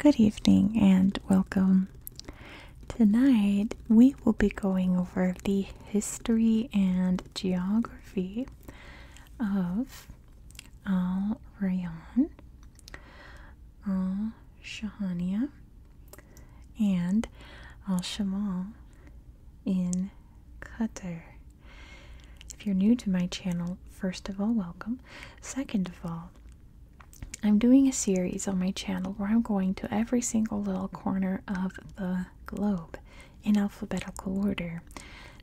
Good evening and welcome. Tonight we will be going over the history and geography of Al Rayan, Al Shahania, and Al Shamal in Qatar. If you're new to my channel, first of all, welcome. Second of all, I'm doing a series on my channel where I'm going to every single little corner of the globe in alphabetical order.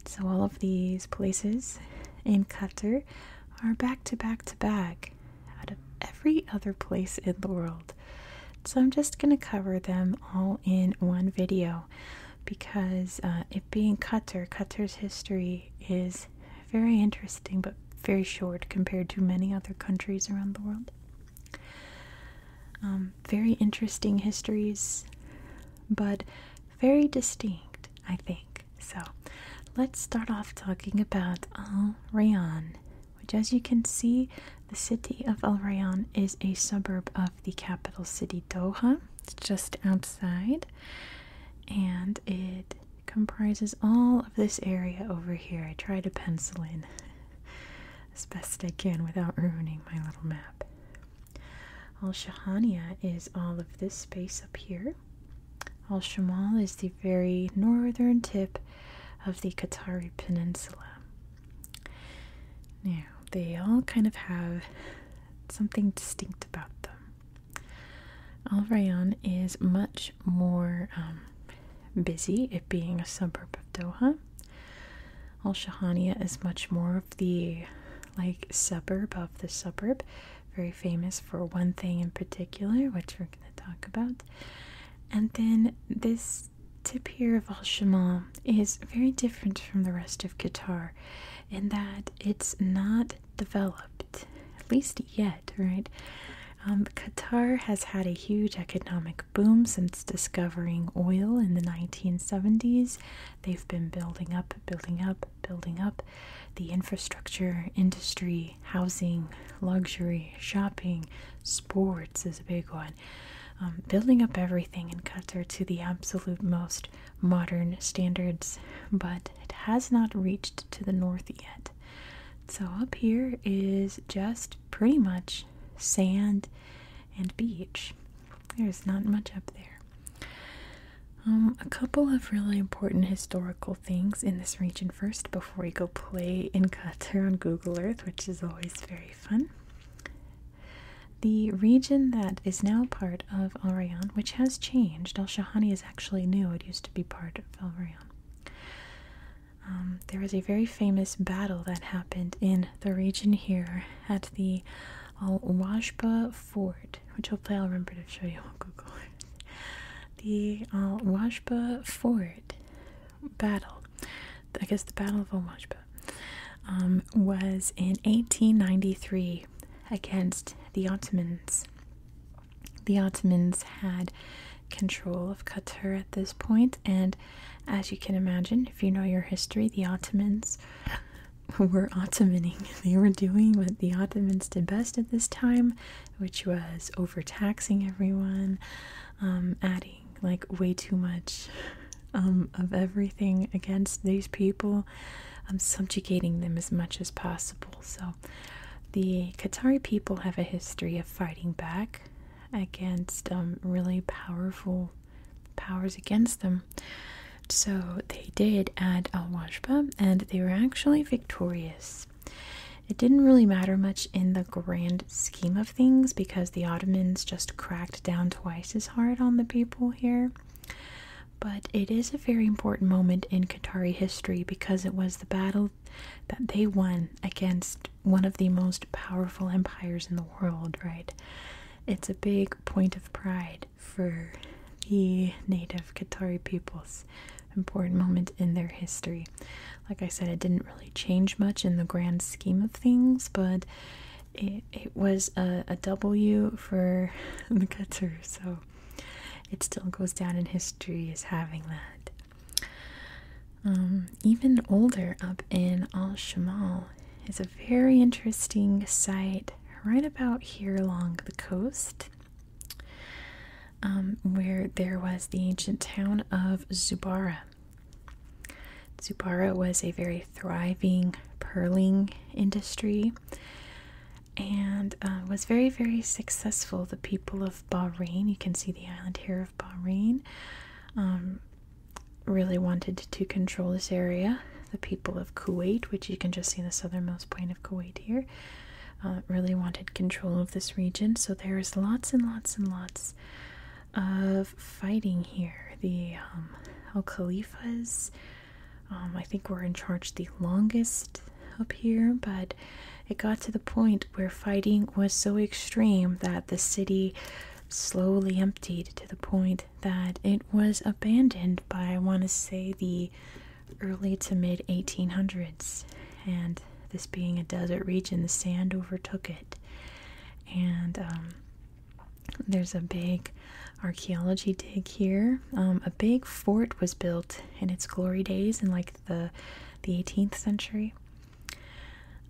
So, all of these places in Qatar are back to back to back out of every other place in the world. So, I'm just going to cover them all in one video because uh, it being Qatar, Qatar's history is very interesting but very short compared to many other countries around the world. Um, very interesting histories, but very distinct, I think. So let's start off talking about Al Rayan, which, as you can see, the city of Al Rayan is a suburb of the capital city Doha. It's just outside, and it comprises all of this area over here. I tried to pencil in as best I can without ruining my little map. Al Shahania is all of this space up here. Al Shamal is the very northern tip of the Qatari Peninsula. Now, they all kind of have something distinct about them. Al Rayan is much more um, busy, it being a suburb of Doha. Al Shahania is much more of the like suburb of the suburb, very famous for one thing in particular, which we're going to talk about. And then this tip here of Al Shamal is very different from the rest of Qatar in that it's not developed, at least yet, right? Um, Qatar has had a huge economic boom since discovering oil in the 1970s. They've been building up, building up, building up the infrastructure, industry, housing, luxury, shopping, sports is a big one. Um, building up everything in Qatar to the absolute most modern standards, but it has not reached to the north yet. So, up here is just pretty much sand, and beach. There's not much up there. Um, a couple of really important historical things in this region first before we go play in Qatar on Google Earth, which is always very fun. The region that is now part of Al which has changed, Al Shahani is actually new, it used to be part of Al Rayan. Um, there was a very famous battle that happened in the region here at the Al Wajba Fort, which hopefully I'll remember to show you on Google. the Al Wajba Fort battle, I guess the Battle of Al Wajba, um, was in 1893 against the Ottomans. The Ottomans had control of Qatar at this And as you can imagine, if you know your history, the Ottomans were Ottomaning. They were doing what the Ottomans did best at this time, which was overtaxing everyone, um, adding like way too much um, of everything against these people, um, subjugating them as much as possible. So the Qatari people have a history of fighting back against um, really powerful powers against them. So they did at Al Washba, and they were actually victorious. It didn't really matter much in the grand scheme of things because the Ottomans just cracked down twice as hard on the people here. But it is a very important moment in Qatari history because it was the Battle that they won against one of the most powerful empires in the world, right? It's a big point of pride for the native Qatari peoples. Important moment in their history. Like I said, it didn't really change much in the grand scheme of things, but it, it was a, a W for the Qatar, so it still goes down in history as having that um, even older, up in Al Shamal, is a very interesting site right about here along the coast, um, where there was the ancient town of Zubarah. Zubarah was a very thriving pearling industry and uh, was very, very successful. The people of Bahrain, you can see the island here Bahrain um, really wanted to control this area. The people of Kuwait, which you can just see the southernmost point of Kuwait here, uh, really wanted control of this region. So there is lots and lots and lots of fighting here. The um, Al Khalifas, um, I think, were in charge the longest up here, but it got to the point where fighting was so extreme that the city slowly emptied to the point that it was abandoned by, I want to say, the early to mid 1800s. And this being a desert region, the sand overtook it. And um, there's a big archaeology dig here. Um, a big fort was built in its glory days and like the 18th century.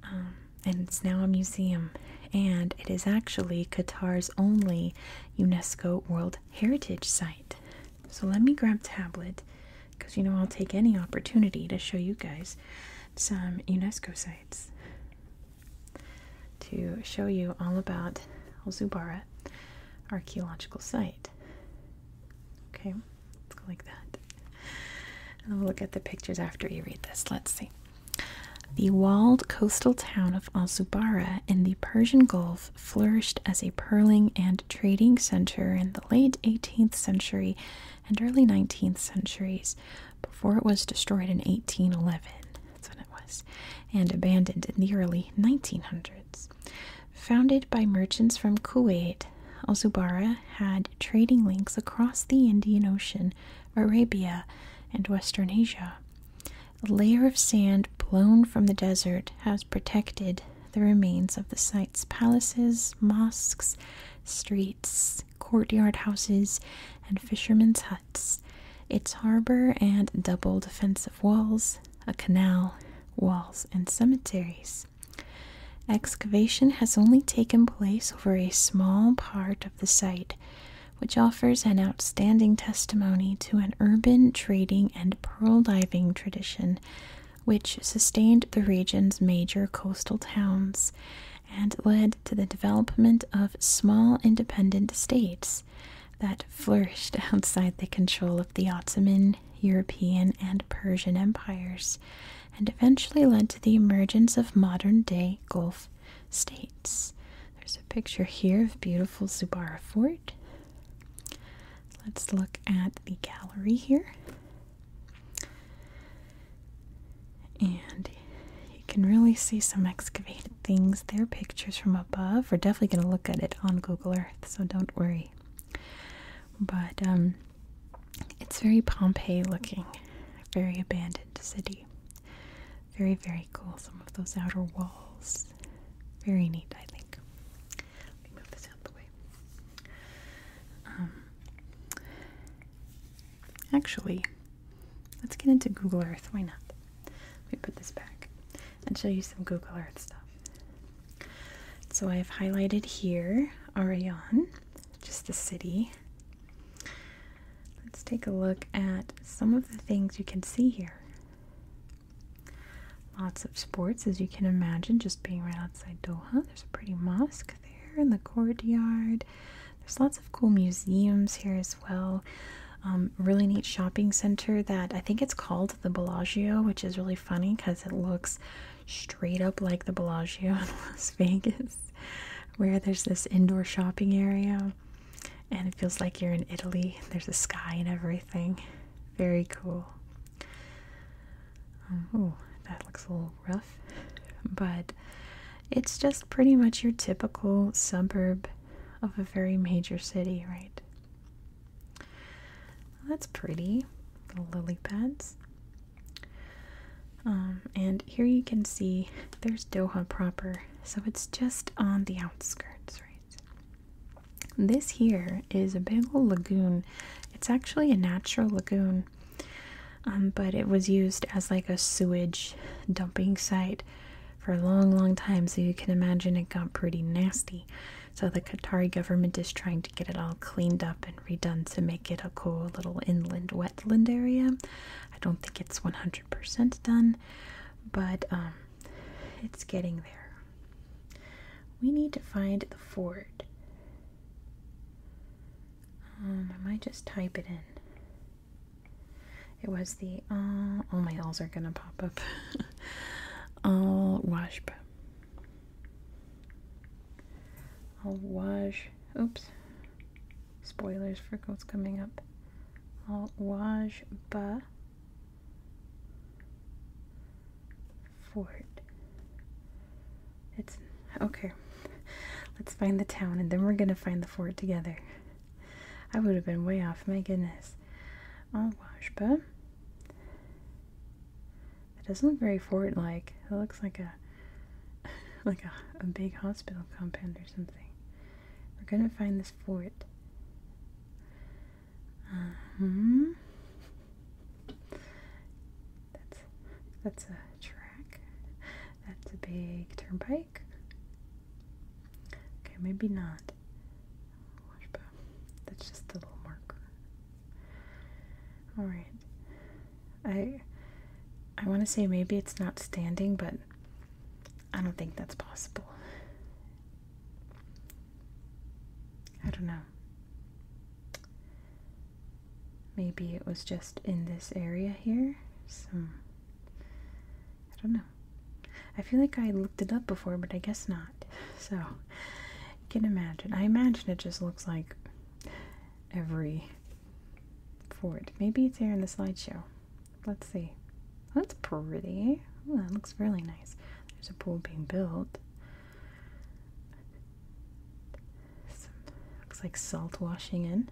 Um, and it's now a museum, and it is actually Qatar's only UNESCO World Heritage Site. So let me grab tablet, because you know I'll take any opportunity to show you guys some UNESCO sites to show you all about Al Zubara archaeological site. Okay like that. And we'll look at the pictures after you read this. Let's see. The walled coastal town of Al Zubara in the Persian Gulf flourished as a pearling and trading center in the late 18th century and early 19th centuries before it was destroyed in 1811. That's when it was, and abandoned in the early 1900s. Founded by merchants from Kuwait, Al Zubarah had trading links across the Indian Ocean, Arabia, and Western Asia. A layer of sand blown from the desert has protected the remains of the site's palaces, mosques, streets, courtyard houses, and fishermen's huts, its harbor and double defensive walls, a canal, walls, and cemeteries. Excavation has only taken place over a small part of the site, which offers an outstanding testimony to an urban trading and pearl diving tradition which sustained the region's major coastal towns and led to the development of small independent states that flourished outside the control of the Ottoman European, and Persian empires, and eventually led to the emergence of modern day Gulf states. There's a picture here of beautiful Zubara Fort. Let's look at the gallery here. And you can really see some excavated things there, pictures from above. We're definitely going to look at it on Google Earth, so don't worry. But um, it's very Pompeii looking, very abandoned city. Very, very cool. Some of those outer walls. Very neat, I think. Let me move this out the way. Um, actually, let's get into Google Earth. Why not? Let me put this back and show you some Google Earth stuff. So I've highlighted here Arayan, just the city. Let's take a look at some of the things you can see here. Lots of sports, as you can imagine, just being right outside Doha. There's a pretty mosque there in the courtyard. There's lots of cool museums here as well. Um, really neat shopping center that I think it's called the Bellagio, which is really funny because it looks straight up like the Bellagio in Las Vegas, where there's this indoor shopping area and it feels like you're in Italy. There's a sky and everything. Very cool. Oh, that looks a little rough, but it's just pretty much your typical suburb of a very major city, right? That's pretty. The lily pads. Um, and here you can see there's Doha proper, so it's just on the outskirts, right? This here is a big old lagoon. It's actually a natural lagoon, um, but it was used as like a sewage dumping site for a long, long time, so you can imagine it got pretty nasty. So the Qatari government is trying to get it all cleaned up and redone to make it a cool little inland wetland area. I don't think it's 100% done, but um, it's getting there. We need to find the ford. Um, I might just type it in. It was the oh, all my L's are gonna pop up. Al Washba. I'll oops, spoilers for what's coming up. i ba fort. It's, okay, let's find the town and then we're gonna find the fort together. I would have been way off, my goodness. i ba it doesn't look very fort-like. It looks like a like a, a big hospital compound or something. We're gonna find this fort. uh That's that's a track. That's a big turnpike. Okay, maybe not that's just a little marker. All right. I I want to say maybe it's not standing, but I don't think that's possible. I don't know. Maybe it was just in this area here. Some I don't know. I feel like I looked it up before, but I guess not. So can imagine. I imagine it just looks like every fort. Maybe it's here in the slideshow. Let's see. That's pretty. that looks really nice. There's a pool being built. looks like salt washing in.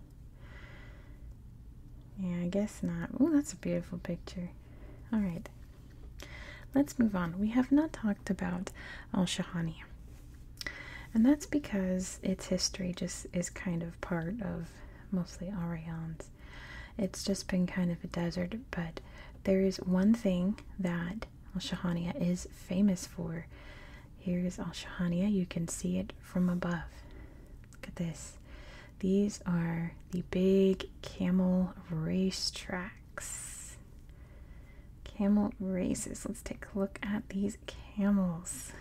Yeah, I guess not. Oh, that's a beautiful picture. All right. Let's move on. We have not talked about Al Shahani, and that's because its history just is kind of part of mostly Orion's. It's just been kind of a desert, but there is one thing that Al Shahania is famous for. Here is Al Shahania. You can see it from above. Look at this. These are the big camel race track. Camel races. Let's take a look at these camels.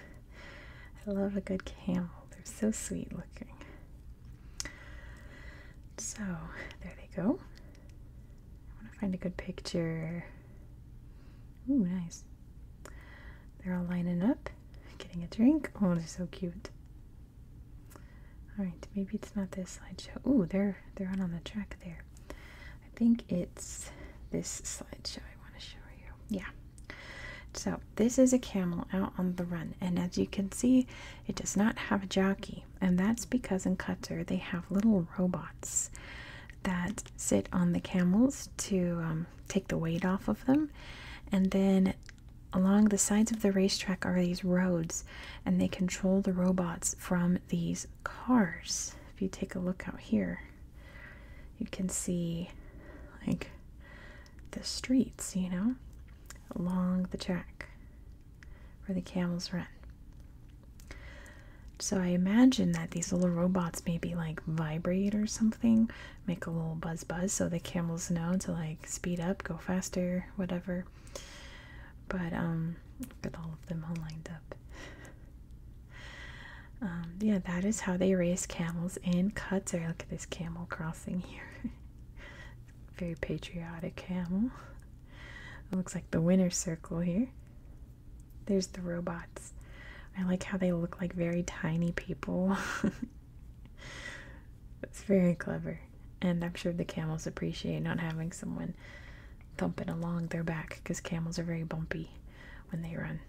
I love a good camel. They're so sweet looking. So, there they go. I want to find a good picture. Ooh, nice. They're all lining up, getting a drink. Oh, they're so cute. All right, maybe it's not this slideshow. Ooh, they're they're on the track there. I think it's this slideshow I want to show you. Yeah. So this is a camel out on the run, and as you can see, it does not have a jockey, and that's because in Qatar they have little robots that sit on the camels to um, take the weight off of them, and then Along the sides of the racetrack are these roads, and they control the robots from these cars. If you take a look out here, you can see like the streets, you know, along the track where the camels run. So I imagine that these little robots maybe like vibrate or something, make a little buzz buzz so the camels know to like speed up, go faster, whatever. But um, got all of them all lined up. Um, yeah, that is how they raise camels in Qatar. Look at this camel crossing here. Very patriotic camel. looks like the winner's circle here. There's the robots. I like how they look like very tiny people. That's very clever. And I'm sure the camels appreciate not having someone thumping along their back because camels are very bumpy when they run.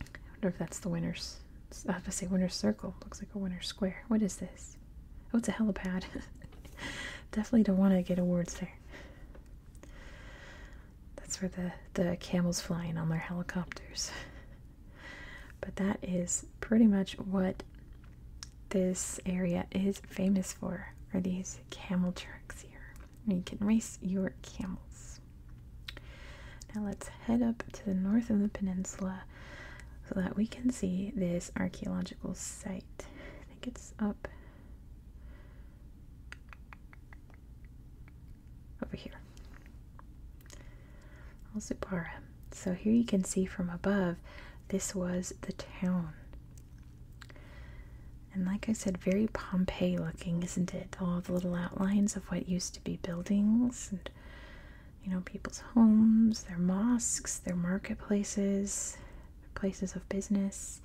I wonder if that's the winner's. I have to say winner's circle. Looks like a winner's square. What is this? Oh, it's a helipad. Definitely don't want to get awards there. That's where the, the camels flying on their helicopters. But that is pretty much what this area is famous for are these camel tracks here. You can race your camels. Now let's head up to the north of the peninsula so that we can see this archaeological site. I think it's up over here. Alzupara. So here you can see from above, this was the town. And like I said, very Pompeii looking, isn't it? All the little outlines of what used to be buildings and, you know, people's homes, their mosques, their marketplaces, their places of business.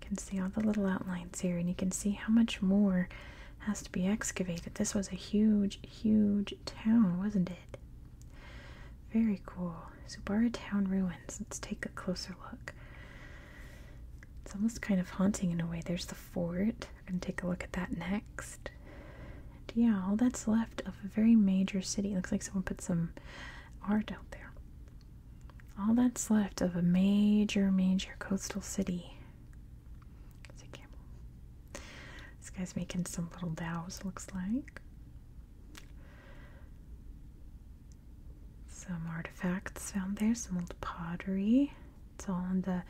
You can see all the little outlines here, and you can see how much more has to be excavated. This was a huge, huge town, wasn't it? Very cool. Subara Town ruins. Let's take a closer look. It's almost kind of haunting in a way. There's the fort. We're going to take a look at that next. yeah, all that's left of a very major city. looks like someone put some art out there. All that's left of a major, major coastal city. This guy's making some little dows, looks like. Some artifacts found there, some old pottery. It's all in the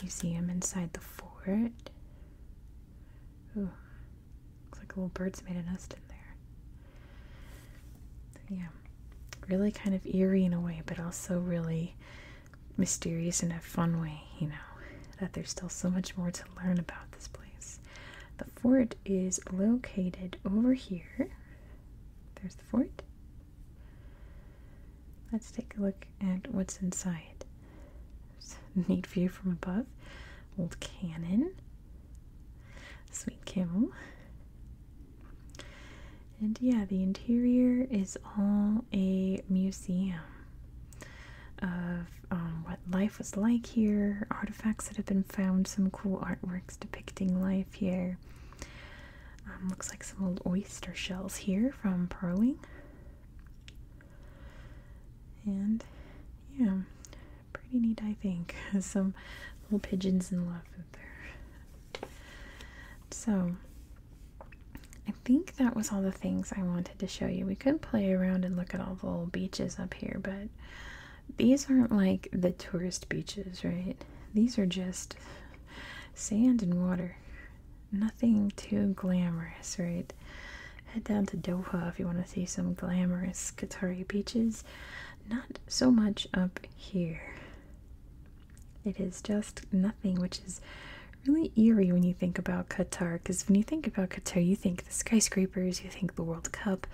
museum inside the fort. Ooh, looks like a little bird's made a nest in there. Yeah, really kind of eerie in a way, but also really mysterious in a fun way, you know, that there's still so much more to learn about this place. The fort is located over here. There's the fort. Let's take a look at what's inside. Neat view from above. Old cannon. Sweet camel. And yeah, the interior is all a museum of um, what life was like here, artifacts that have been found, some cool artworks depicting life here. Um, looks like some old oyster shells here from pearling. And yeah, pretty neat, I think. some little pigeons and love in there. So, I think that was all the things I wanted to show you. We could play around and look at all the little beaches up here, but these aren't like the tourist beaches, right? These are just sand and water. Nothing too glamorous, right? Head down to Doha if you want to see some glamorous Qatari beaches. Not so much up here. It is just nothing, which is really eerie when you think about Qatar because when you think about Qatar, you think the skyscrapers, you think the World Cup,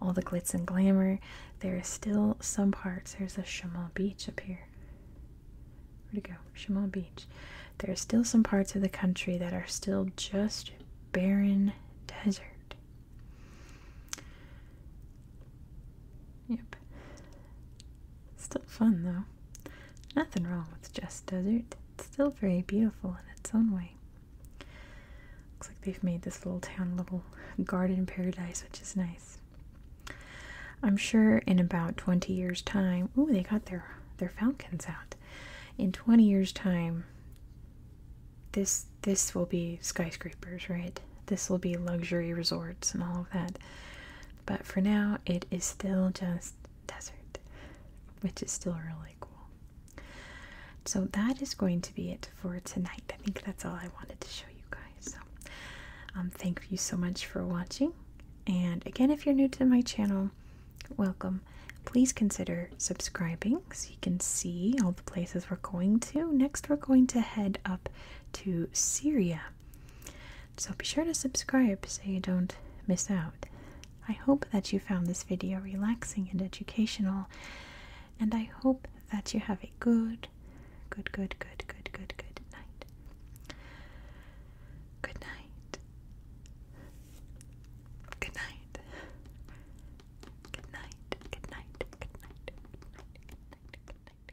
all the glitz and glamour. There are still some parts. There's a Shamal Beach up here. Where'd it go? Shamal Beach. There are still some parts of the country that are still just barren desert. Yep. Still fun though. Nothing wrong with just desert. It's still very beautiful in its own way. Looks like they've made this little town little garden paradise, which is nice. I'm sure in about 20 years' time, Oh, they got their their falcons out. In 20 years' time, this this will be skyscrapers, right? This will be luxury resorts and all of that. But for now, it is still just desert, which is still really cool. So that is going to be it for tonight. I think that's all I wanted to show you guys. So, um, thank you so much for watching. And again, if you're new to my channel, welcome. Please consider subscribing so you can see all the places we're going to. Next, we're going to head up to Syria so be sure to subscribe so you don't miss out. I hope that you found this video relaxing and educational, and I hope that you have a good, good, good, good, good, good, good night. Good night. Good night. Good night. Good night. Good night. Good night. Good night.